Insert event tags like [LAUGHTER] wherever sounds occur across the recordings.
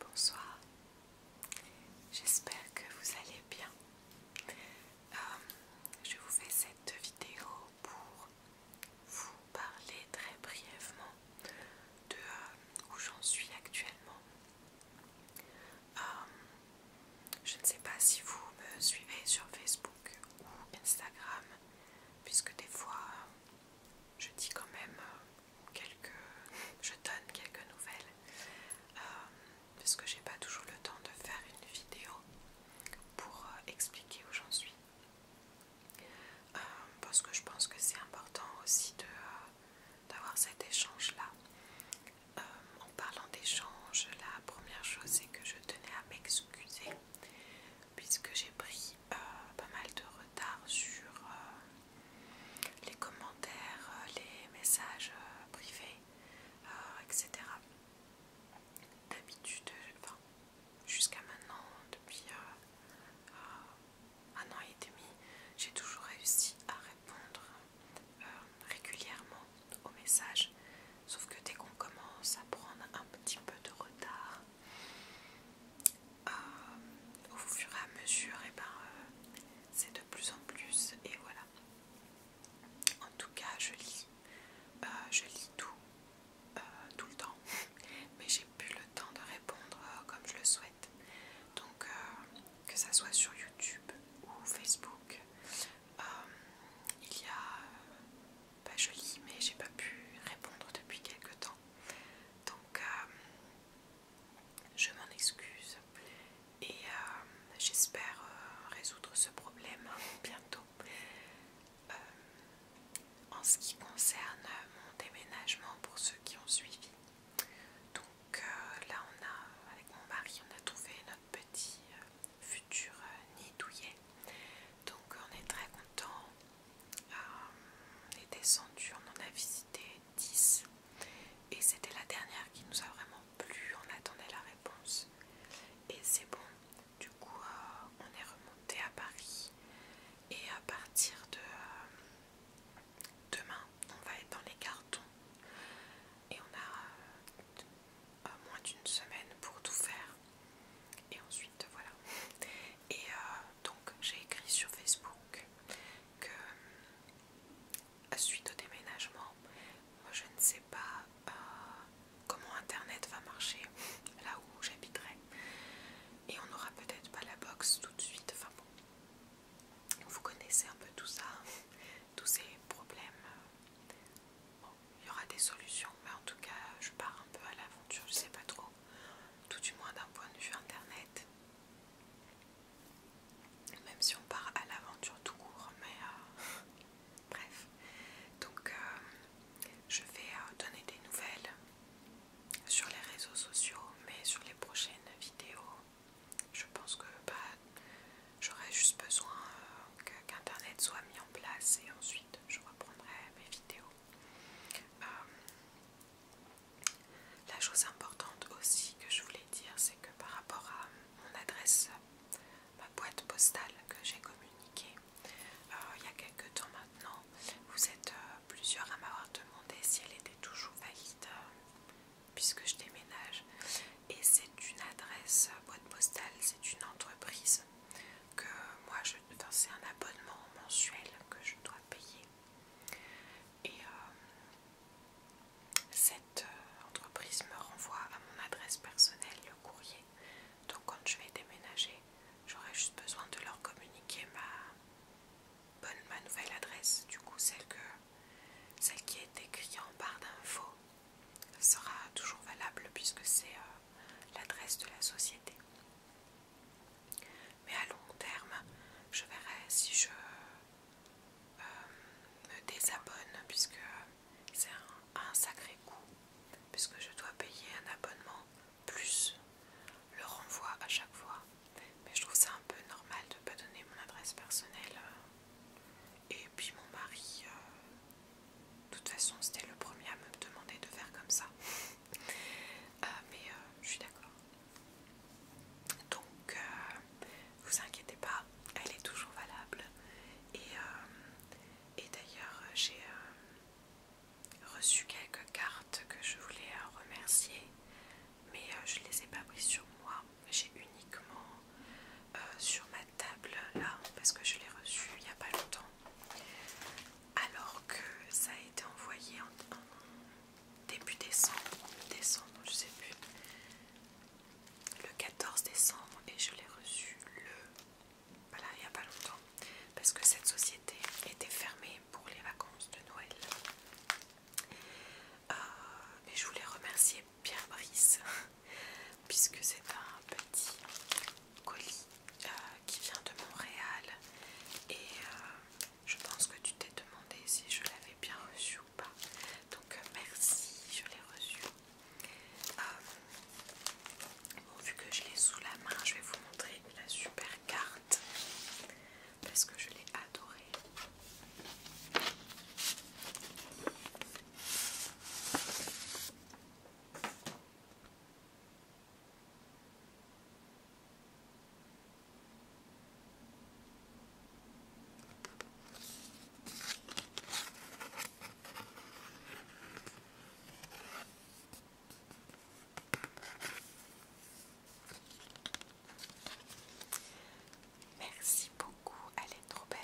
Bonsoir, j'espère que vous allez bien. Euh, je vous fais cette vidéo pour vous parler très brièvement de euh, où j'en suis actuellement. Euh, je ne sais pas si vous me suivez sur Facebook ou Instagram, puisque des fois je dis quand même euh, quelques, je donne quelques nouvelles euh, parce que j'ai pas toujours le temps de faire une vidéo pour euh, expliquer où j'en suis. parce que je pense que c'est important aussi de d'avoir cet échange là. en parlant d'échange, la première chose c'est que je tenais à m'excuser puisque j'ai pris euh, pas mal de retard sur euh, les commentaires, euh, les messages privés, etc. D'habitude, enfin, jusqu'à maintenant, depuis un an et demi, j'ai toujours réussi à répondre régulièrement aux messages Sauf que dès qu'on commence à prendre un petit peu de retard, euh, au fur et à mesure, et eh ben, euh, c'est de plus en plus. Et voilà. En tout cas, je lis, euh, je lis tout, tout le temps, [LAUGHS] mais j'ai plus le temps de répondre comme je le souhaite. Donc, que ça soit sur YouTube ou Facebook, il y a pas jolie, mais j'ai pas pu répondre depuis quelques temps. Donc euh, je m'en excuse et euh, j'espère euh, résoudre ce problème bientôt. en ce qui concerne mon déménagement pour ceux qui ont suivi, donc là on a avec mon mari on a trouvé notre euh, futur euh, nidouillet Donc on est très content. Euh, on est descendu, on en a visité 10 et c'était la dernière qui nous a vraiment plu. On attendait la réponse et c'est bon. Du coup, on est remonté à Paris et à partir de demain, on va être dans les cartons et on a moins d'une semaine pour tout faire. Et ensuite, voilà. Et euh, donc, j'ai écrit sur Facebook que euh, suite au déménagement, moi je ne sais pas euh, comment Internet va marcher là où j'habiterai. Et on n'aura peut-être pas la box tout de suite. Enfin bon, vous connaissez un peu tout ça tous ces problèmes. Euh, il y aura des solutions, mais en tout cas, je pars un peu à l'aventure, je sais pas trop, tout du moins d'un point de vue internet. Même si on part à l'aventure tout court, mais euh, [LAUGHS] bref. Donc, euh, je vais donner des nouvelles sur les réseaux sociaux, mais sur les prochaines vidéos je pense que bah, j'aurais juste besoin euh, qu'Internet soit mis en place et ensuite je reprendrai mes vidéos. Euh, la chose importante aussi que je voulais dire, c'est que par rapport à mon adresse, ma boîte postale que j'ai communiquée euh, il y a quelques temps maintenant, vous êtes plusieurs à m'avoir demandé si elle était toujours valide puisque je déménage. Et c'est une adresse euh, boîte postale, c'est une entreprise que moi, je, enfin, c'est un abonnement mensuel que je dois payer. Et euh, cette euh, entreprise me renvoie à mon adresse personnelle le courrier. Donc quand je vais déménager, j'aurai juste besoin de leur communiquer ma, bonne, ma nouvelle adresse, du coup celle que celle qui est écrite en barre d'infos sera toujours valable puisque c'est euh, l'adresse de la société. Mais à long terme, je verrai si je euh, me désabonne puisque c'est un sacré coût puisque je dois payer un abonnement plus le renvoi à chaque fois mais je trouve ça un peu normal de ne pas donner mon adresse personnelle. Euh, et puis mon mari, euh, de toute façon, c'était le premier à me demander de faire comme ça. Euh, mais je suis d'accord. Donc, vous inquiétez pas, elle est toujours valable. Et, d'ailleurs, j'ai reçu quelques cartes que je voulais remercier mais euh, je ne les ai pas pris sur moi, j'ai uniquement euh, sur ma table là parce que je l'ai reçu il n'y a pas longtemps alors que ça a été envoyé en, début décembre, décembre je sais plus le 14 décembre et je l'ai reçu le voilà il n'y a pas longtemps parce que cette société était fermée pour les vacances de Noël euh, mais je voulais remercier Pierre Brice, [LAUGHS] puisque c'est un petit colis euh, qui vient de Montréal. Et euh, je pense que tu t'es demandé si je l'avais bien reçu ou pas. Donc merci, je l'ai reçu. bon, vu que je l'ai sous la main, je vais vous montrer la super carte parce que je l'ai adoré. Merci beaucoup, elle est trop belle.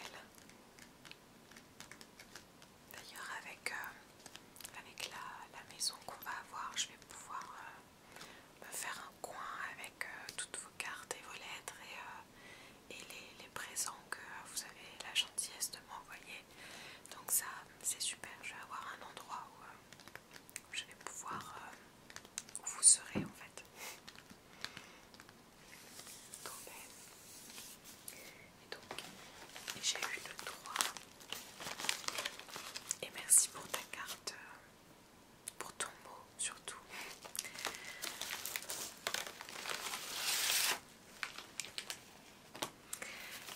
D'ailleurs avec, euh, la, maison qu'on va avoir, je vais pouvoir euh, me faire un coin avec euh, toutes vos cartes et vos lettres et, les, présents que vous avez la gentillesse de m'envoyer. Donc ça, c'est super, je vais avoir un endroit où, je vais pouvoir euh, où vous serez en fait. Et donc, j'ai eu le droit. Et merci pour ta carte, euh, pour ton mot surtout.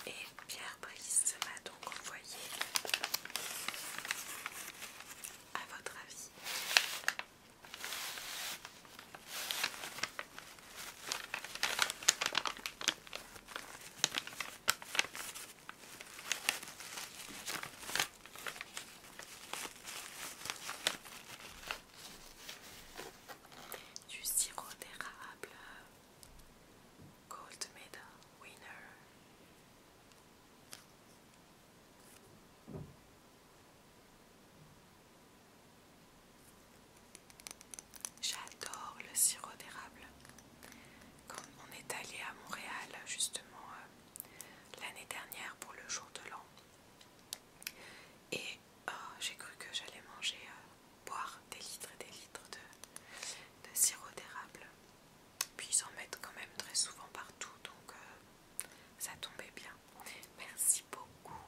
Et Pierre Brice m'a donc envoyé, à votre avis, du sirop d'érable Gold medal winner. J'adore le sirop d'érable. Quand on est allé à Montréal justement euh, l'année dernière pour le jour de l'an. Et oh, j'ai cru que j'allais manger euh, boire des litres et des litres de, sirop d'érable. Puis ils en mettent quand même très souvent partout, donc euh, ça tombait bien. Merci beaucoup,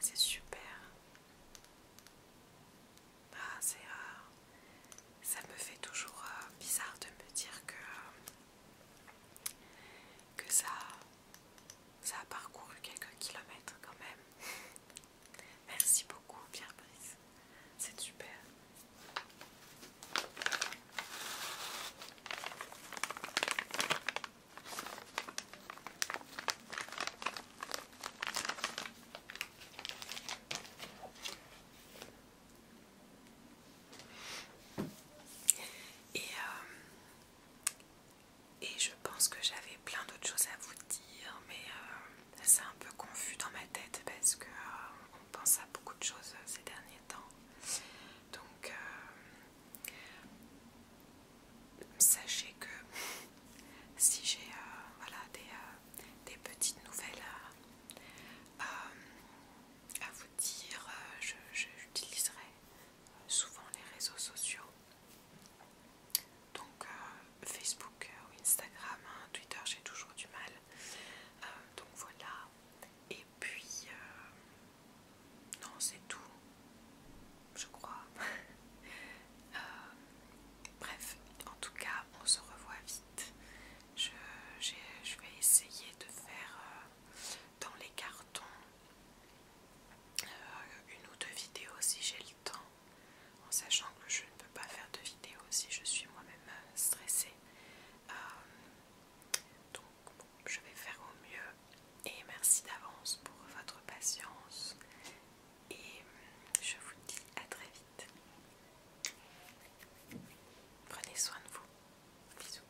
c'est super. Ah, c'est. Euh, ça me fait toujours euh, bizarre de me dire que. que ça. Ça a parcouru quelques kilomètres quand même. Merci beaucoup, Pierre-Brice. C'est super. Et, euh, et je pense que j'avais plein d'autres choses à vous dire, mais euh, c'est un peu confus dans ma tête parce qu'on euh, pense à beaucoup de choses euh, ces derniers temps. Donc sachez que [LAUGHS] si j'ai des, petites nouvelles à, vous dire, j'utiliserai souvent les réseaux sociaux. Donc euh, Facebook euh, ou Instagram, hein, Twitter, j'ai toujours du mal. Euh, donc voilà. Et puis non, c'est tout. Je crois. [LAUGHS] bref, en tout cas, on se revoit vite. Je, vais essayer de faire dans les cartons euh, une ou deux vidéos si j'ai le temps, en sachant que je ne peux pas faire de vidéos si je suis moi-même euh, stressée. Euh, donc je vais faire au mieux et merci d'avance pour votre patience et je vous dis à très vite. Prenez soin de vous. Bisous.